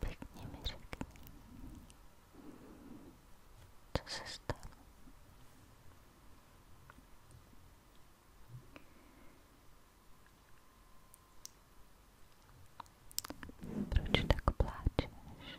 Подними за состав. Прочь так плачешь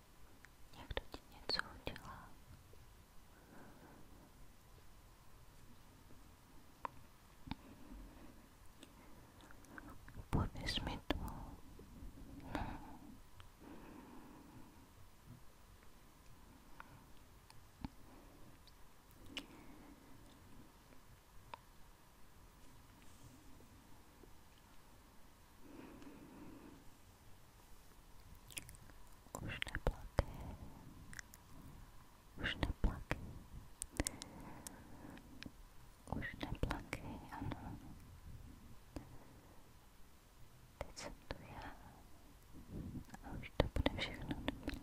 Někdo ti něco udělá. Pověz mi to. Pověz už neplakej. Už neplakej. Už neplakej, ano. Teď jsem tu já. A už to bude všechno dobré.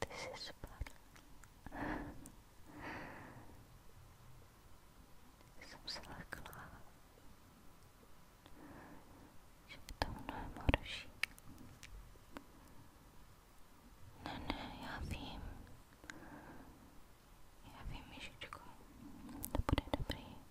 Ty jsi spadl. Jsem se lekla, že je to mnohem horší. Ne, ne, já vím. Já vím, Ježičko, to bude dobrý.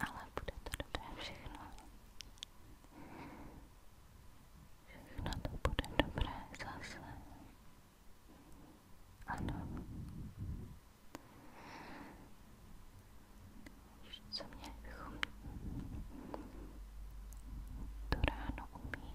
ale bude to dobré všechno. Všechno to bude dobré zase. Ano. Co měli bychom to ráno umít?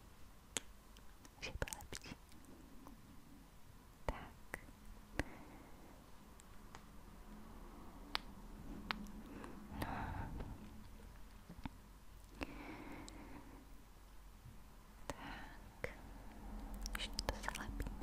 že byl lepší. Tak. No. Tak. Ještě to zalepíme.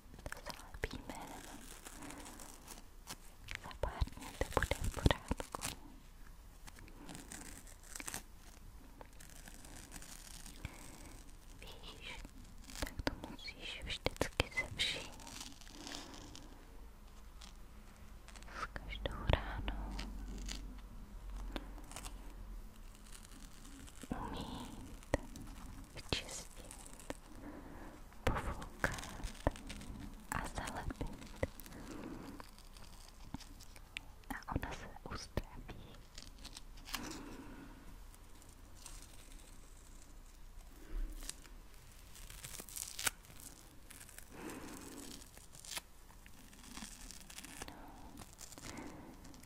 zalbíme za pár dní to bude v pořádku víš, tak to musíš vždycky se vším s každou ránou umít vyčistit, pofoukat a zalepit. A ona se uzdraví.